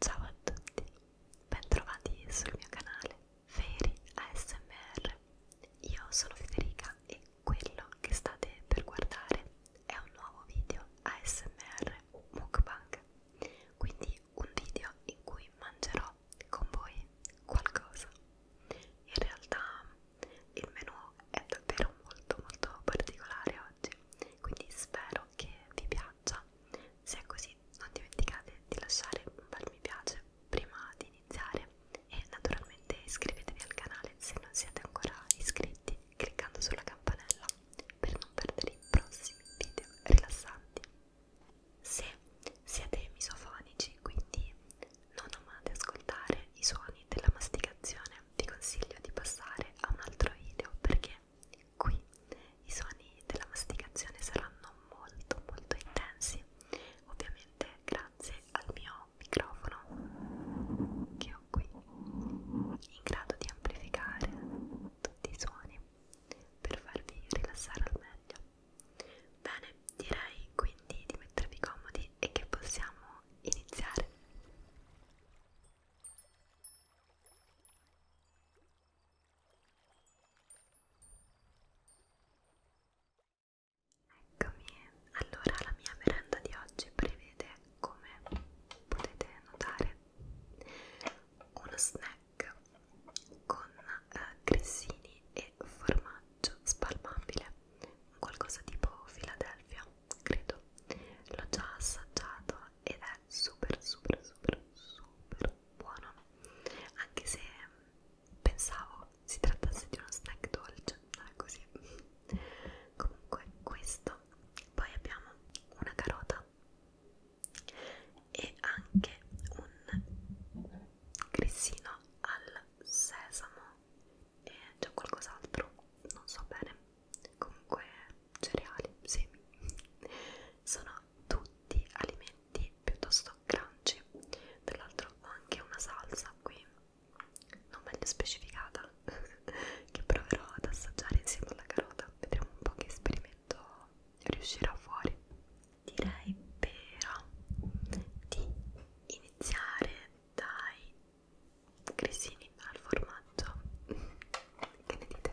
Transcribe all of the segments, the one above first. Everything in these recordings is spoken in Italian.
Ciao a tutti, bentrovati sul mio canale Feri ASMR. Io sono Federica e quello che state per guardare è un nuovo video ASMR Mukbang, quindi un video in cui mangerò con voi qualcosa. In realtà il menù è davvero molto molto particolare oggi, quindi spero che vi piaccia faccia. Se è così, non dimenticate di lasciare un bel mi piace prima di iniziare e naturalmente iscrivetevi al canale se non siete ancora iscritti cliccando sulla campanella per non perdere i prossimi video rilassanti. Se siete misofonici, quindi non amate ascoltare i suoni della masticazione, vi consiglio di passare a un altro video perché perché qui i suoni della masticazione saranno molto molto intensi, ovviamente grazie al mio microfono che ho qui, in grado di amplificare tutti i suoni per farvi rilassare al meglio. Bene, direi quindi di mettervi comodi e che possiamo iniziare. Eccomi, allora la mia merenda di oggi prevede, come potete notare, uno snack con eh, grissini e formaggio spalmabile, qualcosa tipo Philadelphia, credo. L'ho già assaggiato ed è è super super super super buono anche se mm, pensavo si trattasse di uno snack dolce non è così comunque questo poi abbiamo una carota e anche un grissino al sesamo e c'è qualcos'altro non so bene comunque cereali, semi, sono tutti alimenti piuttosto crunchy. Tra l'altro ho anche una salsa qui, non meglio specificata, che proverò ad assaggiare insieme alla carota, vedremo un po' che esperimento riuscirà fuori. Direi però di iniziare dai cresini al formaggio. Che ne dite?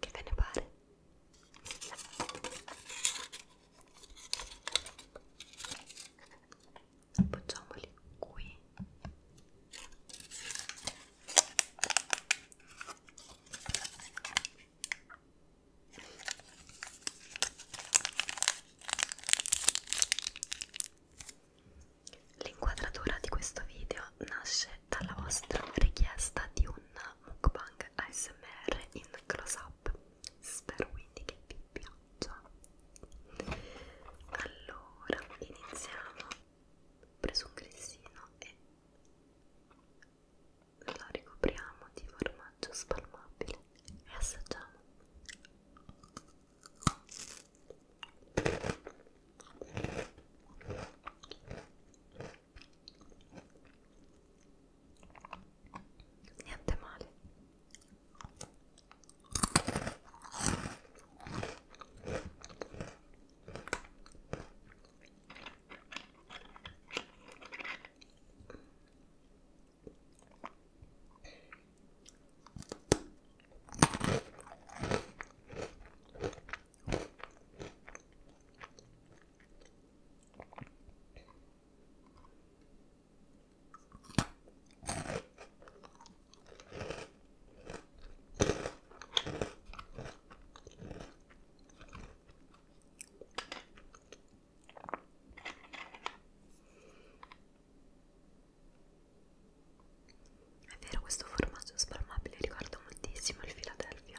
Che ve ne pare? Appoggiamoli qui. L'inquadratura di questo video nasce dalla vostra richiesta di un mukbang Bang ASMR in close up spero quindi che vi piaccia allora iniziamo ho preso un grissino e lo ricopriamo di formaggio spalmabile e assaggiamo niente male è vero, questo formaggio spalmabile ricorda moltissimo il Philadelphia.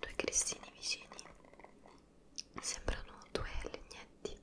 Due cristini vicini sembrano due legnetti.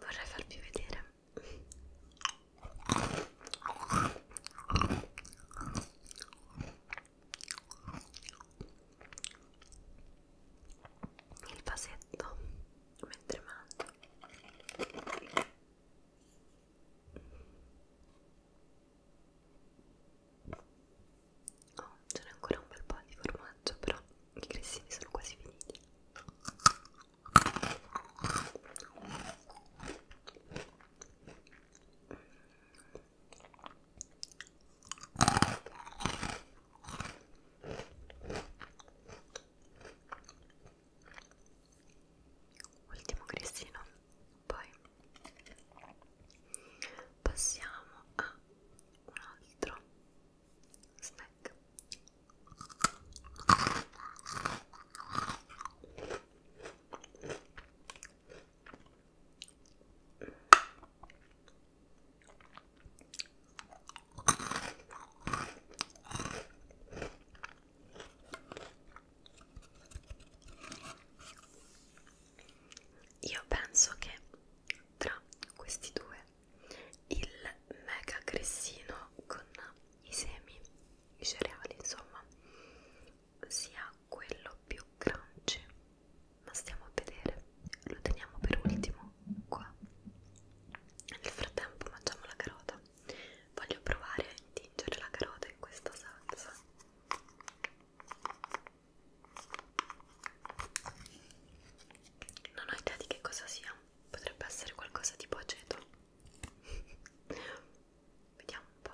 Vorrei farvi vedere il vasetto mentre mangio oh, ce n'è ancora un bel po' di formaggio però i grissini sono quasi finiti Ultimo grissino, poi passiamo a un altro snack io penso che tra questi due il mega grissino con i semi, i cereali, insomma, sia quello più crunchy. Ma stiamo a vedere, lo teniamo per ultimo qua. Nel frattempo mangiamo la carota. Voglio provare a intingere la carota in questa salsa. Non ho idea di che cosa sia, potrebbe essere qualcosa tipo aceto. Vediamo un po'.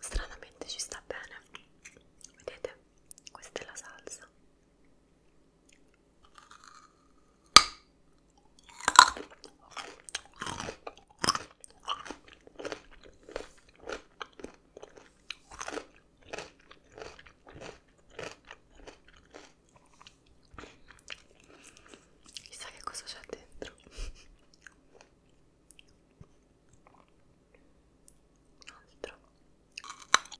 Stranamente ci sta bene, vedete? Questa è la salsa Chissà che cosa c'è dentro. Altro.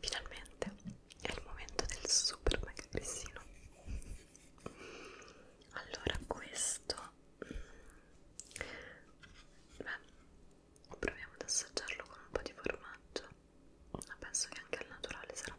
Finalmente è il momento del super mega grissino. Allora, questo mm, beh, proviamo ad assaggiarlo con un po' di formaggio. Ma penso che anche al naturale sarà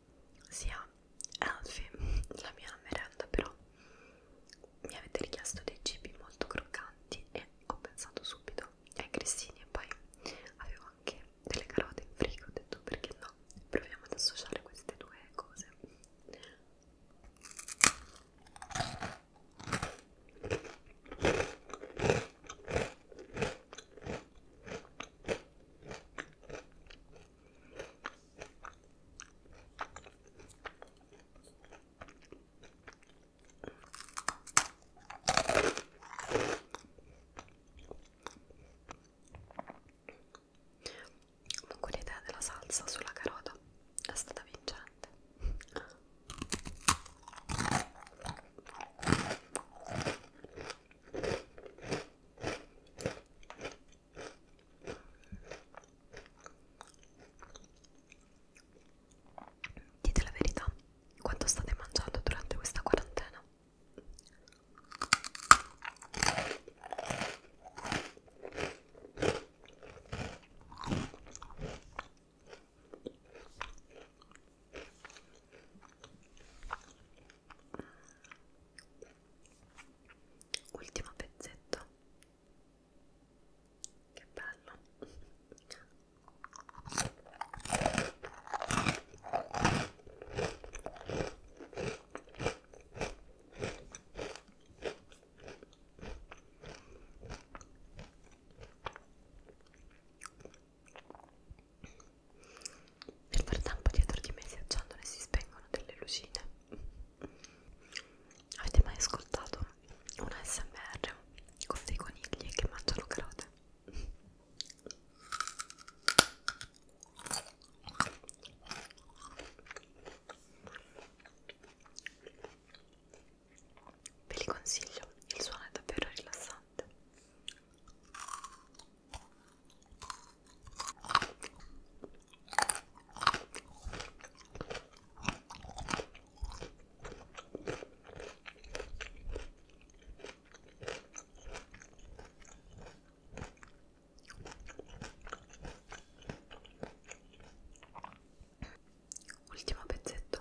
sia Alfie la mia merenda però mi avete richiesto dei cibi molto croccanti e ho pensato subito ai grissini e poi avevo anche delle carote in frigo ho detto perché no proviamo ad associare queste due cose Comunque l'idea della salsa sulla carota è stata vincente. Dite la verità, quanto state mangiando durante questa quarantena? ultimo pezzetto che bello nel frattempo dietro di me si accendono e si spengono delle lucine. Avete mai ascoltato una SMR con dei conigli che mangiano carote? Ve li consiglio, il suono è davvero rilassante. Ultimo pezzetto.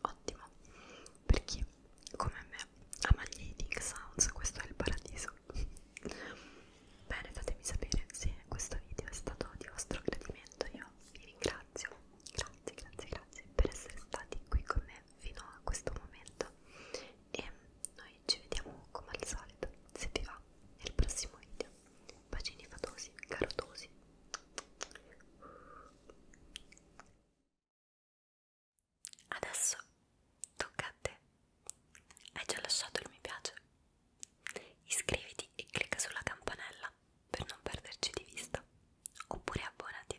Ottimo, per chi come me ama gli eating sounds, questo è il paradiso. Bene, fatemi sapere se questo video è stato di vostro gradimento, io vi ringrazio, grazie, grazie, grazie per essere stati qui con me fino a questo momento e noi ci vediamo come al solito se vi va nel prossimo video bacini fatosi carotosi adesso tocca a te hai già lasciato il mi piace iscriviti e clicca sulla campanella per non perderci di vista oppure abbonati